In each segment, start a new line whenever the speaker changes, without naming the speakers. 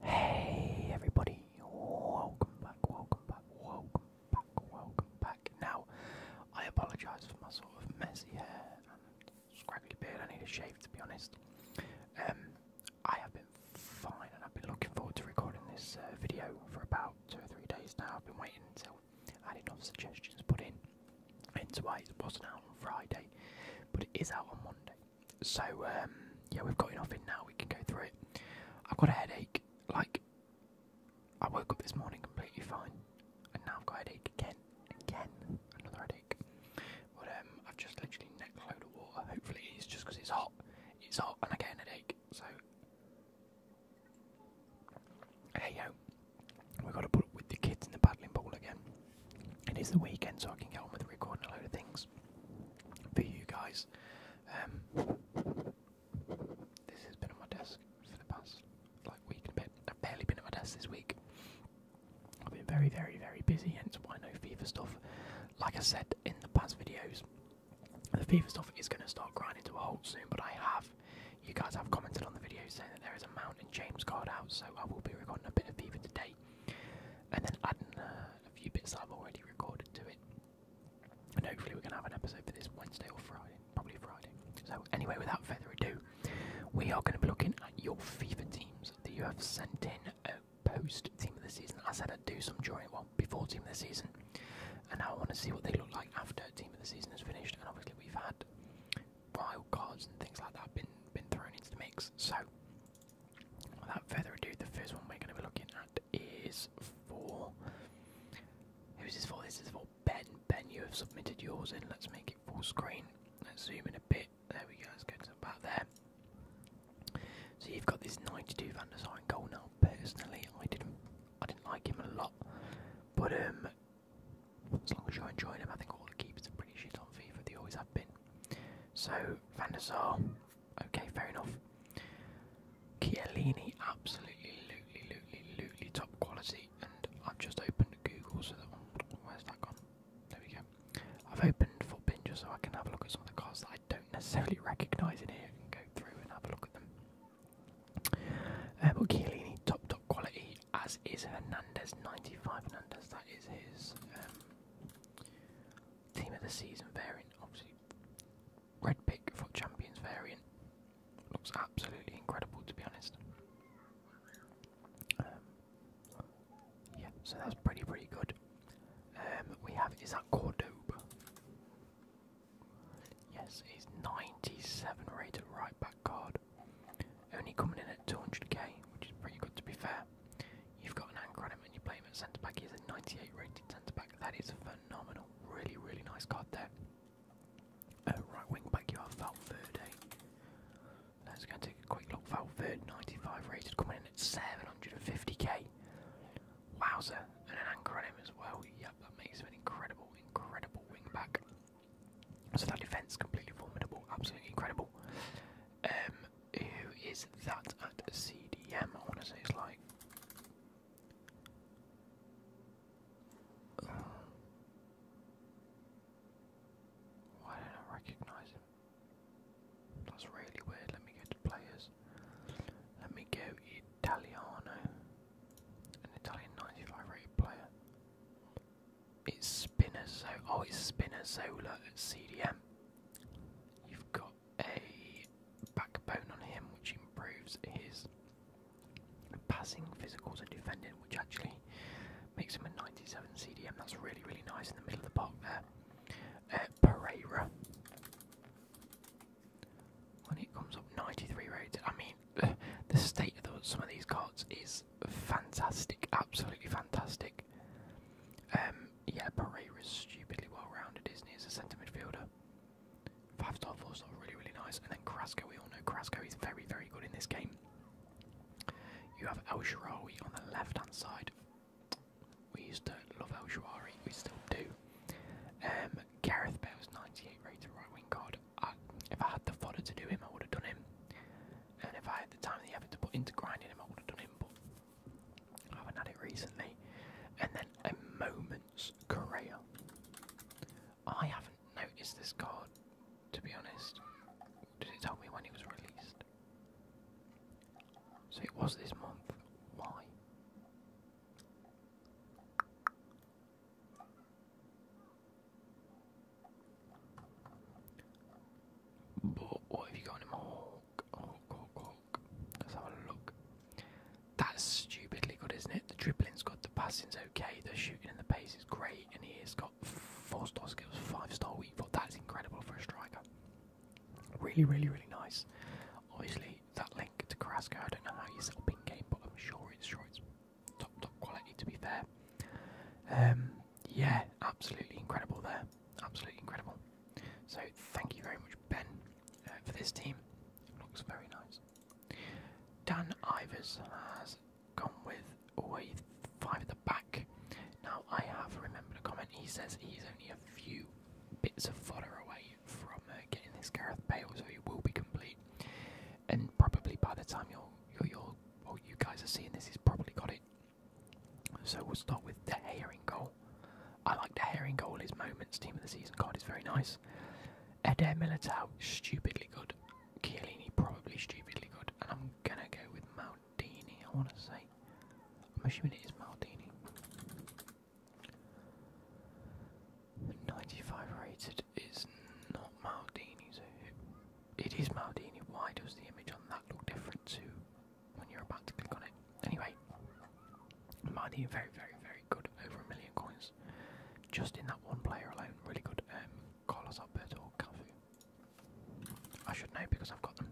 Hey everybody, welcome back, welcome back, welcome back, welcome back. Now, I apologise for my sort of messy hair and scraggly beard, I need a shave to be honest. Um, I have been fine and I've been looking forward to recording this uh, video for about two or three days now. I've been waiting until I had enough suggestions put in, hence why it wasn't out on Friday, but it is out on Monday. So um, yeah, we've got enough in now. We can go through it. I've got a headache. Like I woke up this morning completely fine, and now I've got a headache again, again, another headache. But um, I've just literally neckload of water. Hopefully, it's just because it's hot. It's hot, and I get an headache. So hey yo, we have got to put up with the kids in the paddling pool again. It is the weekend, so I can get on with recording a load of things for you guys. Um, this has been on my desk for the past like week and a bit. I've barely been at my desk this week. I've been very, very, very busy, hence why no FIFA stuff. Like I said in the past videos, the FIFA stuff is going to start grinding to a halt soon, but I have, you guys have commented on the video saying that there is a Mountain James card out, so I will be recording a bit of FIFA today and then adding a few bits I've already recorded to it. And hopefully, we're going to have an episode for this Wednesday or Friday, probably Friday. So, anyway, without further ado, we are going to be looking at your FIFA teams that you have sent in uh, post team of the season. I said I'd do some during, well, before team of the season, and now I want to see what they look like after team of the season is finished. And obviously, we've had wild cards and things like that been been thrown into the mix. So, Without further ado, the first one we're going to be looking at is for. Who's this for? This is for Ben. Ben, you have submitted yours in. Let's make it full screen. Let's zoom in a bit. There we go. Let's go to about there. So you've got this 92 Van der Sar goal now. Personally, I didn't, I didn't like him a lot, but um, as long as you're enjoying him, I think all the keepers are pretty shit on FIFA. They always have been. So Van okay, fair enough. Chiellini, absolutely, lutely, lutely, lutely top quality. And I've just opened Google, so where's that gone? There we go. I've opened Footbinger so I can have a look at some of the cars that I don't necessarily recognise in here and go through and have a look at them. Uh, but Chiellini, top, top quality as is Hernandez, 95 Hernandez. That is his um, team of the season variant. Obviously, red pick for champions variant. Looks absolutely incredible, to be honest. Um, yeah, so that's pretty, pretty good. Um, we have, is that Cordoba? Yes, he's 97 rated right back card. Only coming in at 200k, which is pretty good to be fair. You've got an anchor on him and you play him at centre back. He's a 98 rated centre back. That is phenomenal. Really, really nice card there. Uh, right wing back, you have Valverde. Let's go and take a quick look. Valverde, 95 rated, coming in at 750k. Wowzer, and an anchor on him as well. Yep, that makes an incredible, incredible wing back. So that defence completely formidable, absolutely incredible. Um, who is that at CDM? I want to say it's like. Uh, why don't I recognise him? That's really weird. Let me go to players. Let me go Italiano. An Italian 95 rated player it's spinner. oh it's Spinazola at CDM. You've got a backbone on him which improves his passing, physicals and defending which actually makes him a 97 CDM. That's really, really nice in the middle of the park there. Uh, Pereira. When it comes up 93 rated, I mean, the state of some of these cards is fantastic, absolutely fantastic. Um, yeah, Pereira's stupidly well rounded, is As a centre midfielder, five star, four star, really, really nice. And then Crasco, we all know Crasco is very, very good in this game. You have El on the left hand side. We used to love El we still do. Um, Gareth Bale's 98 rated right wing guard if I had the fodder to do him, I would have done him. And if I had the time and the effort to put into grinding him, I would have done him. But I haven't had it recently. And then a moment's career. I haven't noticed this card, to be honest. Did it tell me when it was released? So it was this month. Why? But what have you got in him? Hawk, Hawk, Let's have a look. That's stupidly good, isn't it? The dribbling's good, the passing's okay, the shooting and the pace is great, and he has got four star skills, five star weak foot. That's incredible for a striker. Really, really, really nice. Obviously, that link to Carrasco, I don't know how you set up in game, but I'm sure it's sure top top quality to be fair. Um, yeah, absolutely incredible there, absolutely incredible. So thank you very much, Ben, uh, for this team. Looks very nice. Dan Ivers has gone with always five at the back. Now I have remembered a comment. He says he's only a few bits of fodder away from uh, getting this Gareth Bale, so he will be complete and probably by the time you're you're, you guys are seeing this, he's probably got it. So we'll start with the herring goal. I like the herring goal. His moments, team of the season card is very nice. Eder Militao, stupidly good. Chiellini, probably stupidly good. And I'm gonna go with Maldini. I want to say. I'm assuming it is Maldini. 95 rated is not Maldini, so it is Maldini. Why does the image on that look different to when you're about to click on it? Anyway, Maldini, very, very, very good. Over a million coins. Just in that one player alone, really good. Um, Carlos Alberto or I should know because I've got them.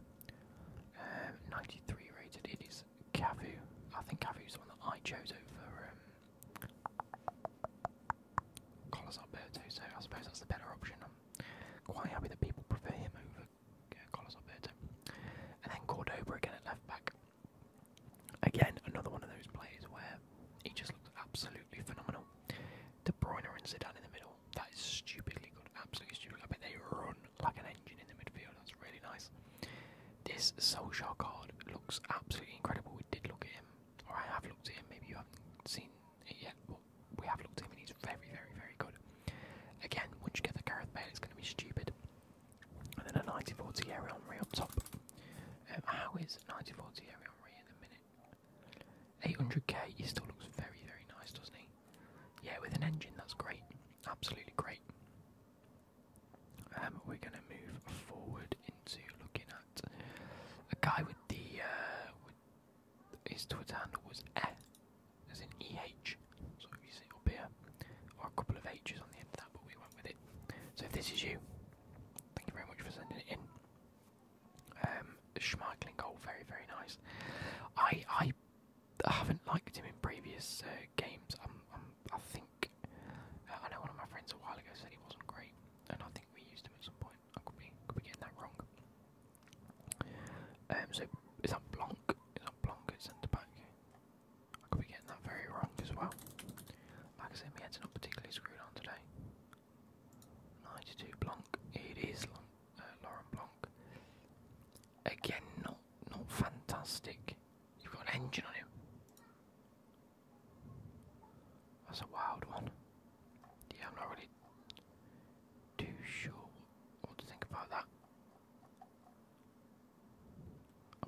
Um, 93 rated. It is Cafu. I think Cafu is the one that I chose over um, Carlos Alberto, so I suppose that's the better option. I'm quite happy that people prefer him over Carlos Alberto. And then Cordoba again at left back. Again, another one of those players where he just looks absolutely phenomenal. De Bruyne and Zidane in the middle. That is stupidly good, absolutely stupidly good. they run like an engine in the midfield. That's really nice. This Solskjaer card looks absolutely incredible. We did look at him or I have looked at him. Maybe you haven't seen it yet, but we have looked at him, and he's very, very, very good. Again, once you get the Gareth Bale, it's going to be stupid. And then a 94 Thierry on up top. Um, how is 94 Thierry Henry in a minute? 800k, he still looks very, very nice, doesn't he? Yeah, with an engine, that's great. Absolutely great. Um, we're going to move forward into looking that. A guy with the uh, with his Twitter handle was eh, as in EH. So if you see up here, or a couple of H's on the end of that, but we went with it. So this is you, thank you very much for sending it in. Um, Schmeichling goal, very very nice. I I haven't liked him in previous uh, games. i I think I know one of my friends a while ago said he wasn't great, and I think we used him at some point. I could be could be getting that wrong. Um, so is that Blanc? Is that Blanc at centre back? I could be getting that very wrong as well. Like I said, my head's not particularly screwed on today. 92 Blanc. It is Long, uh, Lauren Blanc. Again, not not fantastic. You've got an engine on him. That's a wild one. Yeah, I'm not really too sure what to think about that.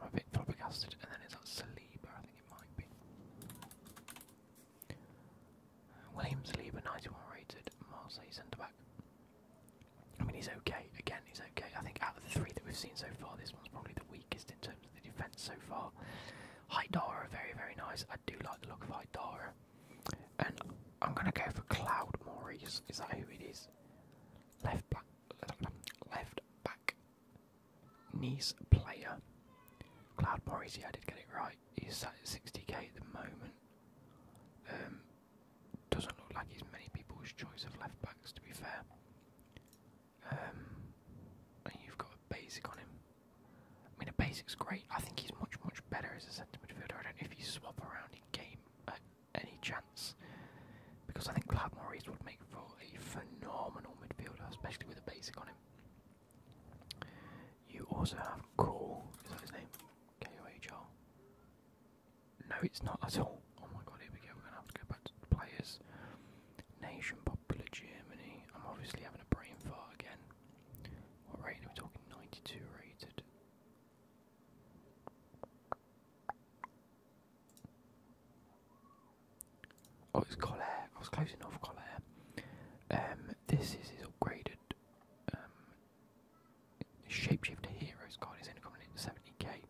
I'm a bit flabbergasted, and then it's that Saliba, I think it might be. William Saliba, 91 rated, Marseille centre back. I mean, he's okay. Again, he's okay. I think out of the three that we've seen so far, this one's probably the weakest in terms of the defence so far. Hydara, very, very nice. I do like the look of Hydara. And I'm going to go for Cloud Maurice. Is that who it is? Left back, left back, niece player. Cloud Maurice, yeah, I did get it right. He's sat at 60k at the moment. Um, doesn't look like he's many people's choice of left backs, to be fair um, you've got a basic on him. I mean, a basic's great. I think he's much, much better as a centre midfielder. I don't know if you swap around in game at any chance, because I think Vlad Maurice would make for a phenomenal midfielder, especially with a basic on him. You also have Cole, is that his name? K O H R. No, it's not at all. Oh my god, here we go. We're gonna have to go back to the players. Nation pop Hitler Germany. I'm obviously having a brain fart again. What rating are we talking? 92 rated. Oh, it's Colair. I was close enough, Colair. Um, this is his upgraded um, Shapeshifter Heroes card. It's only coming in at 70k.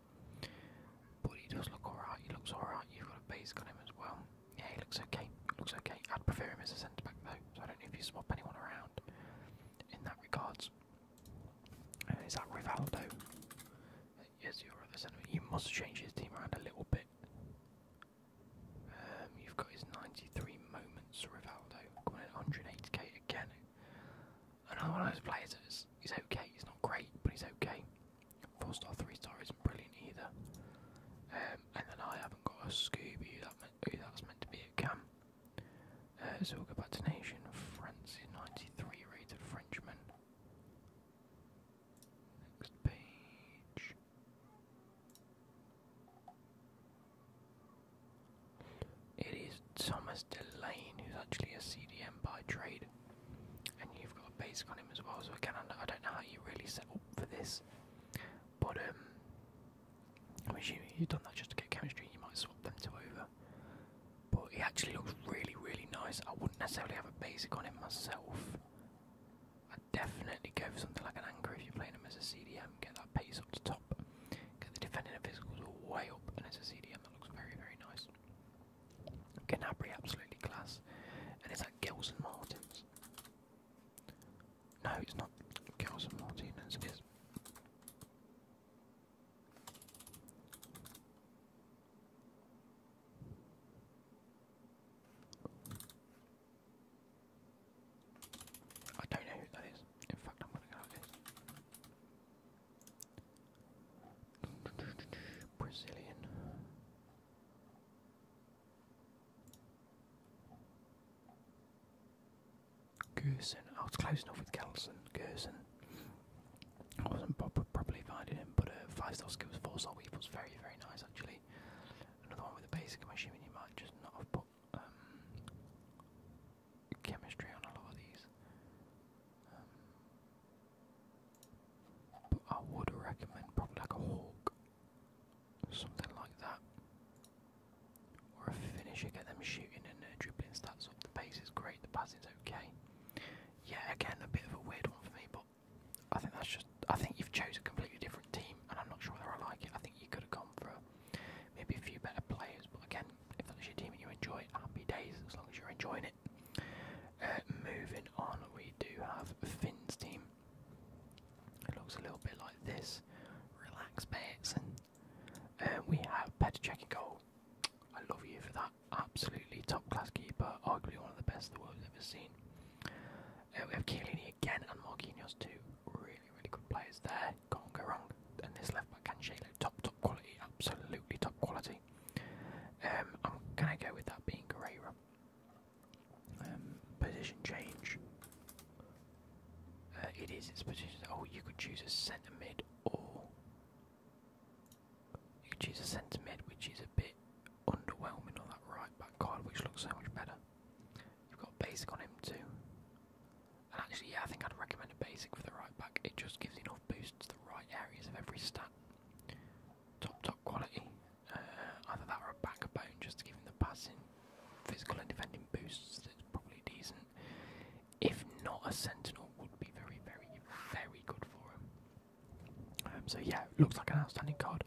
But he does look alright, he looks alright. You've got a base on him as well. Yeah, he looks okay, looks okay. I'd prefer him as a centre back though, so I don't know if you swap anyone around in that regards. is that Rivaldo? yes, you're at the centre. You must change his team around a little bit. Um, you've got his 93 moments, Rivaldo, coming at 180k again. Another one of those players is, he's okay, he's not great, but he's okay. Four star, three star isn't brilliant either. Um, and then I haven't got a Scooby that meant, meant to be at Cam. Uh, so we Nation. France 93 rated Frenchman. Next page. It is Thomas Delane, who's actually a CDM by trade and you've got a basic on him as well. So again, I don't know how you really set up for this, but um, I'm assuming you've done that just to get chemistry. You might swap them two over, but he actually looks really, really nice. I wouldn't necessarily have a basic on him myself. I'd definitely go for something like an anchor if you're playing him as a CDM. Get that pace up to top, get the defending and physicals all way up, and as a CDM that looks very, very nice. Canabri, absolutely class. And it's that Gills Martins? No, it's not Gills Martins, it is. I don't know who that is. In fact, I'm going to go Brazilian. Gerson. Oh, I was close enough with Kelson. Gerson. I wasn't pro properly finding him, but a uh, five star skills, four star weave was very, very nice actually. Another one with a basic, I'm assuming you might just not have put um, chemistry on a lot of these. Um, but I would recommend probably like a hawk, something like that, or a finisher. Get them shooting and uh, dribbling stats up. The pace is great. The passing's okay. Yeah, again, a bit of a weird one for me, but I think that's just. I think you've chosen a completely different team, and I'm not sure whether I like it. I think you could have gone for maybe a few better players, but again, if that's your team and you enjoy it, happy days as long as you're enjoying it. Uh, moving on, we do have Finn's team. It looks a little bit like this. Relax, mates. And uh, we have Petacek in goal. I love you for that. Absolutely top class keeper. Arguably one of the best the world's ever seen. Uh, we have Chiellini again and Marquinhos too. Really, really good players there. Can't go wrong. And this left back Cancelo, top, top quality. Absolutely top quality. Um, I'm gonna go with that being Guerrero. Um, position change. Uh, it is its position. Oh, you could choose a centre mid or you could choose a centre mid, which is a bit underwhelming on that right back card, which looks so much better. You've got basic on him too. And actually, yeah, I think I'd recommend a basic for the right back. It just gives enough boost to the right areas of every stat. Top, top quality. Uh, either that or a backbone just to give him the passing, physical and defending boosts. That's probably decent. If not, a sentinel would be very, very, very good for him. Um, so yeah, looks like an outstanding card.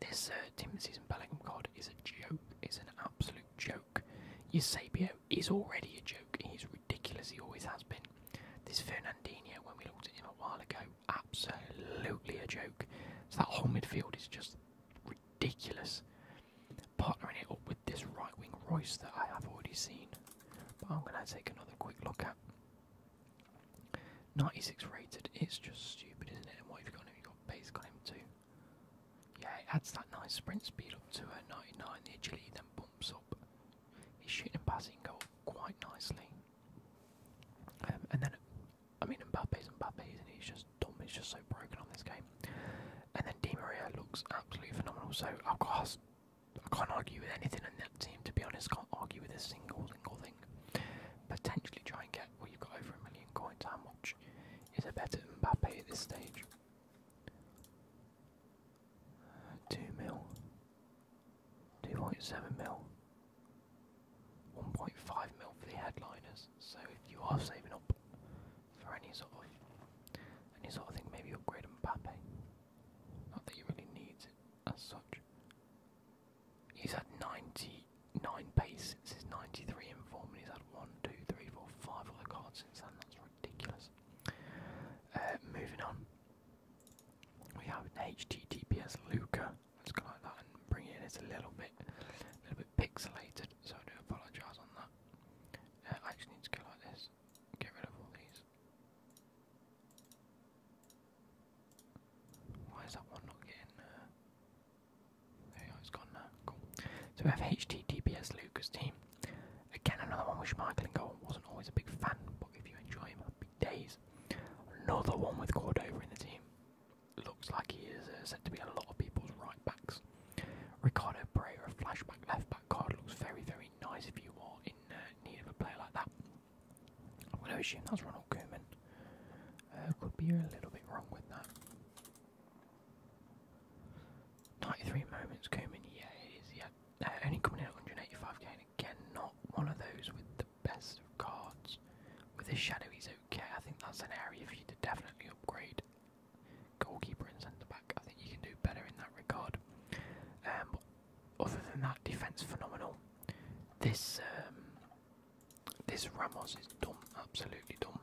This uh, Season and Bellingham card is a joke. It's an absolute joke. Eusebio is already a joke he's ridiculous, he always has been. This Fernandinho, when we looked at him a while ago, absolutely a joke. So that whole midfield is just ridiculous. Partnering it up with this right wing Royce that I have already seen. But I'm going to take another quick look at. 96 rated, it's just stupid, isn't it? And what have you got you got base got too. Yeah, it adds that nice sprint speed up to a 99, the agility then bumps up. He's shooting and passing go up quite nicely. Um, and then, I mean, Mbappe's Mbappe, and he's just dumb. He's just so broken on this game. And then Di Maria looks absolutely phenomenal. So I've got, I can't argue with anything in that team. To be honest, can't argue with a single single thing. Potentially try and get what well, you've got over a million coins. How much is a better Mbappe at this stage? 2 mil, 2.7 mil, 1.5 mil for the headliners. So if you are saving up for any sort of any sort of thing, maybe upgrade Mbappe. Not that he really needs it as such. He's had 99 pace since his 93 in form, and he's had 1, 2, 3, 4, 5 other cards since then. That's ridiculous. Uh, moving on, we have an HTTPS Luca. Let's go like that and bring it It's a little bit, little bit pixelated, so I do apologise on that. Uh, I actually need to go like this. Get rid of all these. Why is that one not getting? Uh, it's gone now. Cool. So we have HTTPS Luca's team. Again, another one with Schmeichel and goal. Wasn't always a big fan, but if you enjoy him, big days. Another one with Cordova in the team. Looks like he is uh, said to be a lot of people's right backs. Ricardo Pereira, flashback left back card looks very, very nice if you are in uh, need of a player like that. I'm going to assume that's Ronald Koeman. Uh, could be a little bit wrong with that. 93 moments, Koeman. Yeah, it is. He uh, only coming in at 185k, again, not one of those with the best of cards. With his shadow, he's okay. I think that's an area for you to definitely upgrade. Goalkeeper and centre back, I think you can do better in that regard. Um, but other than that, defence phenomenal. This um, this Ramos is dumb, absolutely dumb.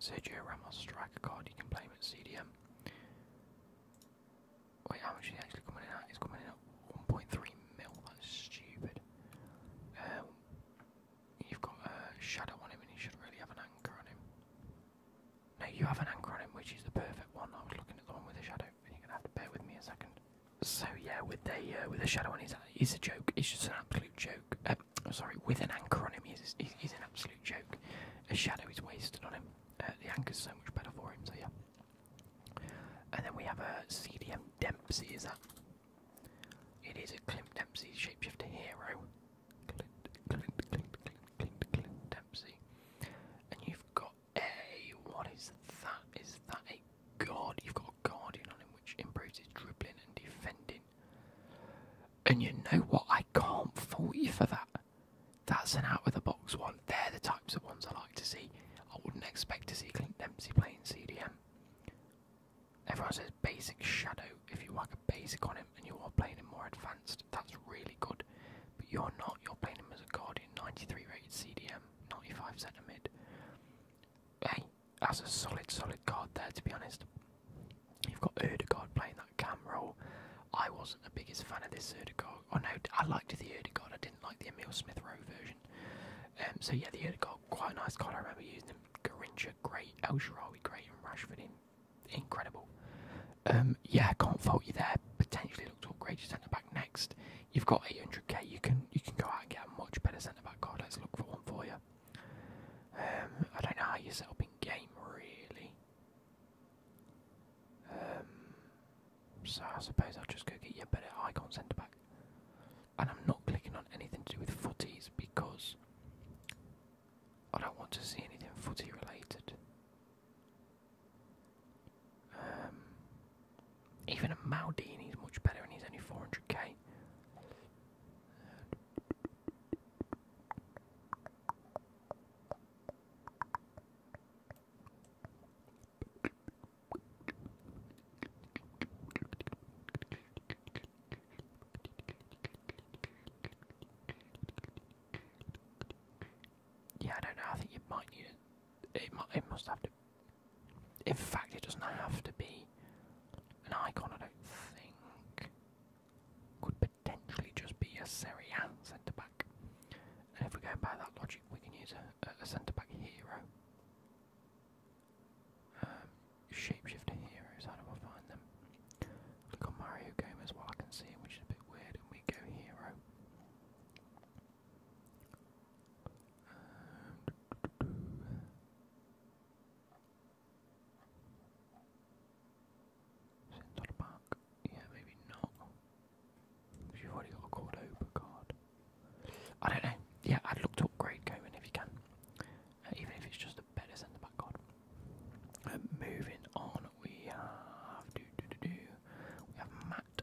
Sergio Ramos, striker card, you can play him at CDM. Wait, how much is actually coming in It's coming in 1.3 mil, that's stupid. Um, you've got a uh, shadow on him and he should really have an anchor on him. No, you have an anchor on him, which is the perfect one. I was looking at the one with the shadow, and you're gonna have to bear with me a second. So yeah, with the uh, with the shadow on his he's a joke. It's just an absolute joke. Um, sorry, with an anchor on him, he's, he's, he's an absolute joke. A shadow is wasted on him. Uh, the anchor's so much better for him, so yeah. And then we have a CDM Dempsey, is that? It is a Clint Dempsey shapeshifter hero. Clint, Clint, Clint, Clint, Clint, Clint Dempsey. And you've got a. What is that? Is that a guard? You've got a guardian on him which improves his dribbling and defending. And you know what? I can't fault you for that. That's an out of the box one. They're the types of ones I like to see. I wouldn't expect to see Clint Dempsey playing CDM. Everyone says basic shadow. If you whack a basic on him and you are playing him more advanced, that's really good. But you're not. You're playing him as a guard in 93 rated CDM, 95 centre mid. Hey, that's a solid, solid guard there. To be honest, You've got Erdegaard playing that cam role. I wasn't the biggest fan of this Erdegaard. Oh no, I liked the Erdegaard. I didn't like the Emil Smith Rowe version. Um, so yeah, the Erdegaard, quite a nice card. I remember using them. Garincha, great. El Shirawi, great. Rashford, in, incredible. Um, yeah, can't fault you there. Potentially look to upgrade your centre back next. You've got 800k. You can you can go out and get a much better centre back card. Let's look for one for you. Um, I don't know how you set up in game really. Um, so I suppose I'll just go get you a better icon centre back. And I'm not clicking on anything to do with footies because I don't want to see anything footy related. Um, even a Maldini is much better and he's only 400k. Yeah, I don't know. I think it might need it. It, must have to. In fact, it doesn't have to be an icon. I don't think. be potentially just be a Serie centre back. And if we're by that logic, we can use a, centre back hero. Um, shapeshifter heroes, how do we find them? Click on Mario Game well, I can see which is a bit weird, and we go hero. Um, Centre back. Yeah, maybe not. You've already got a Cordoba card. I don't know. Yeah, I'd look to upgrade Cohen if you can. Uh, even if it's just a better centre back card. Uh, moving on, we have do, do, do, do. we have Matt.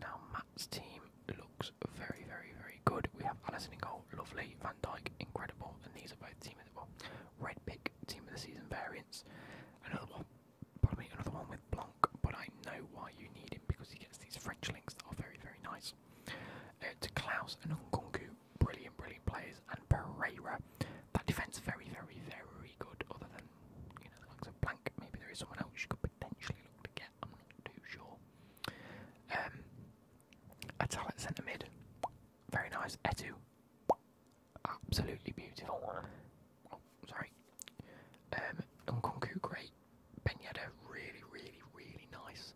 Now Matt's team looks very, very, very good. We have Alison and goal, lovely incredible, and these are both team of the well, red pick team of the season variants. Another one, pardon another one with Blanc, but I know why you need him because he gets these French links that are very, very nice. Uh, to Klaus and Nkunku, brilliant, brilliant players, and Pereira. That defence very, very, very good. Other than you know, like a blank, maybe there is someone else you could potentially look to get. I'm not too sure. Um, Atal centre mid, very nice. Etu. Absolutely beautiful. Oh, sorry. Um, great. Ben really, really, really nice.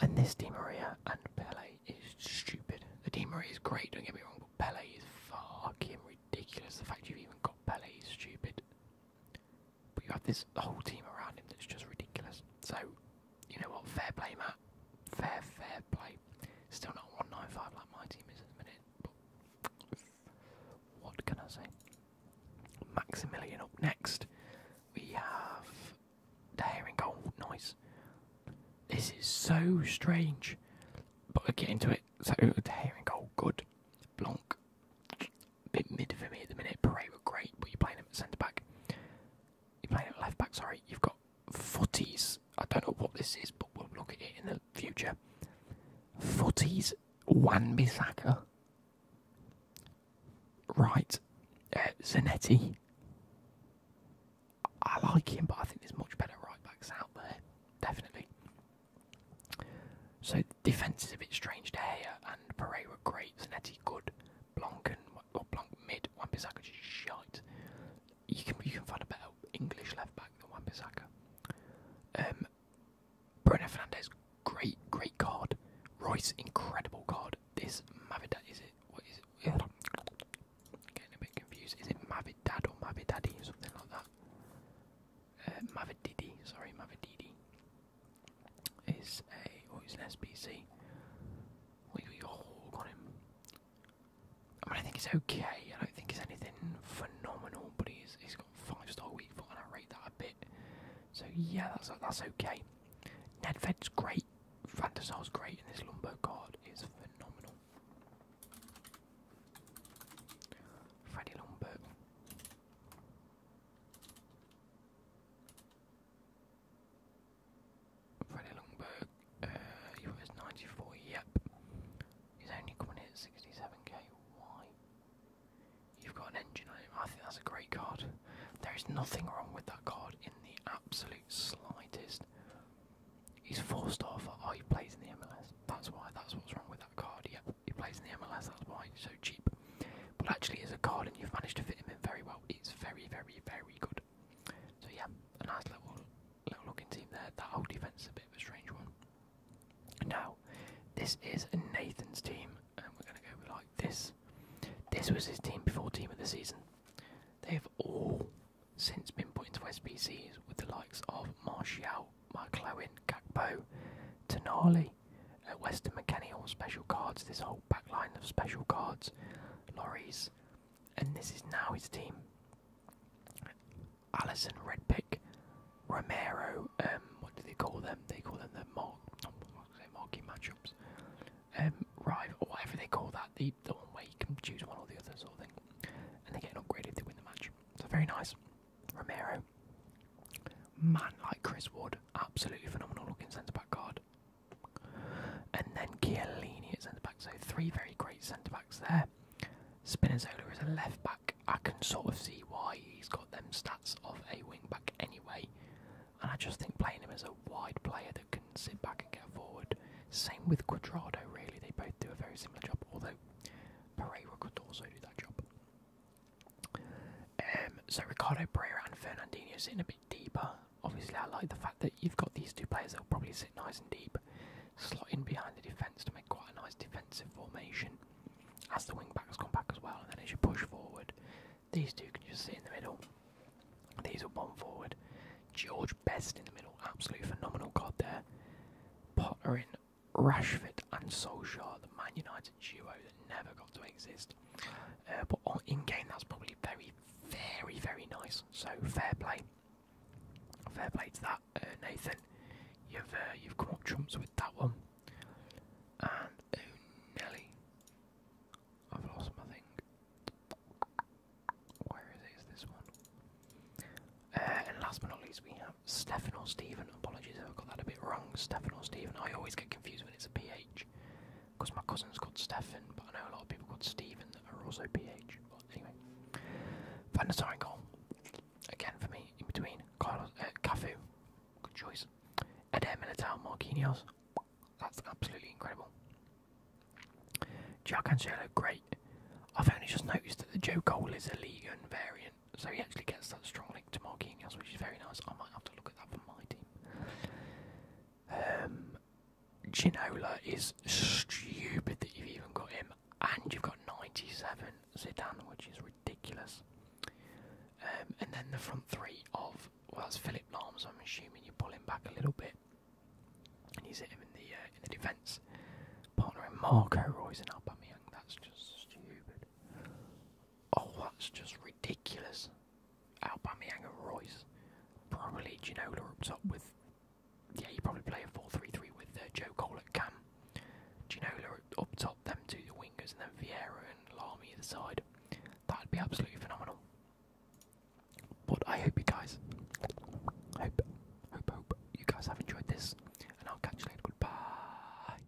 And this Di Maria and Pele is stupid. The Di Maria is great, don't get me wrong, but Pele is fucking ridiculous. The fact you've even got Pele is stupid. But you have this whole team around him that's just ridiculous. So, you know what, fair play, Matt. Fair, fair play. Still not 195 like my team is at the minute, what can I say? Maximilian up next. We have the herring gold. Nice. This is so strange, but we'll get into it. So, the herring gold, good. Blanc, bit mid for me at the minute. Parade great, but you're playing him at centre back. You're playing at left back, sorry. You've got footies. I don't know what this is, but we'll look at it in the future. Footies Wan Bissaka. Right. Uh, Zanetti. I like him, but I think there's much better right backs out there. Definitely. So defence is a bit strange to Gea and Pereira great, Zanetti good, Blanc and or Blanc mid. Wan-Bissaka just shite. You can you can find a better English left back than Wan-Bissaka. Um, Bruno Fernandez, great great card. Royce, incredible card. This Mavidad is it? What is it? Getting a bit confused. Is it Mavidad or Mavidaddy or something like that? Uh, sorry, Mavididi is a or is an SPC. We got a hawk on him. I mean I think it's okay, I don't think it's anything phenomenal, but he's he's got five star weak foot and I rate that a bit. So yeah, that's that's okay. Nedved's great, Fantasal's great, and this Lumbo card is phenomenal. Freddy Lumbo. Freddie Longberg, uh, he was 94, yep. He's only coming in at 67k, why? You've got an engine I think that's a great card. There is nothing wrong with that card in the absolute slightest. He's four star for, oh he plays in the MLS, that's why, that's what's wrong with that card, yep. He plays in the MLS, that's why it's so cheap. But actually, as a card, and you've managed to fit him in very well. It's very, very, very good. So yeah, a nice little, little looking team there. That whole defense is a bit of a strange one. Now, this is Nathan's team, and we're going to go with like this. This was his team before team of the season. They've all since been put into SBCs with the likes of Martial, McLaren, Gakpo, Tonali, at Western Mechanical special cards, this whole back line of special cards, lorries, and this is now his team. Allison Redpick, Romero, um, what do they call them? They call them the mark, marquee matchups, um, rival, whatever they call that, the, the one way you can choose one or the other sort of thing. And they get an upgrade if they win the match. So very nice. Romero, man like Chris Wood, absolutely phenomenal looking centre back card. And then Chiellini at centre back. So three very great centre backs there. Spinazzola is a left back. I can sort of see why he's got them stats of a wing back anyway. And I just think playing him as a wide player that can sit back and get forward. Same with Quadrado, really. They both do a very similar job, although Pereira could also do that job. Um, so Ricardo Pereira and Fernandinho sitting a bit deeper. Obviously, I like the fact that you've got these two players that will probably sit nice and deep, slotting behind the defence to make quite a nice defensive formation. As the wing backs come back as well, and then as you push forward, these two can just sit in the middle. These will bomb forward. George Best in the middle, absolutely phenomenal God, there. Pottering, Rashford, and Solskjaer, the Man United that duo that never got to exist. Uh, but on, in game, that's probably very, very, very nice. So fair play, fair play to that, uh, Nathan. You've uh, you've come up trumps with that one. And oh, Nelly, I've lost my thing. Where is this one? Uh, and last but not least, we have Stefan or Stephen. Apologies if I got that a bit wrong. Stefan or Stephen. I always get confused when it's a PH. Because my cousin's called Stephen, but I know a lot of people called Stephen that are also PH. But anyway, Van goal. Again for me, in between Carlos, uh, Cafu, good choice. Eder Militao, Marquinhos. That's absolutely incredible. Jack Cancelo, great. I've only just noticed that the Joe Cole is a Liga variant, so he actually gets that strong link to Marquinhos, which is very nice. I might have to to look at that for my team. Um, Ginola is stupid that you've even got him, and you've got 97 Zidane, which is ridiculous. Um, and then the front three of, well, it's Philip Lahm, I'm assuming you pull him back a little bit, and you sit him in the uh, in the defence, partnering Marco Royce and Aubameyang. That's just stupid. Oh, that's just ridiculous. Aubameyang and Royce. Probably Ginola up top with. Yeah, you probably play a 4 with uh, Joe Cole at Cam. Ginola up top, them two, the wingers, and then Vieira and Lamy either side. That'd be absolutely phenomenal. But I hope you guys. Hope, hope, hope you guys have enjoyed this. And I'll catch you later. Goodbye.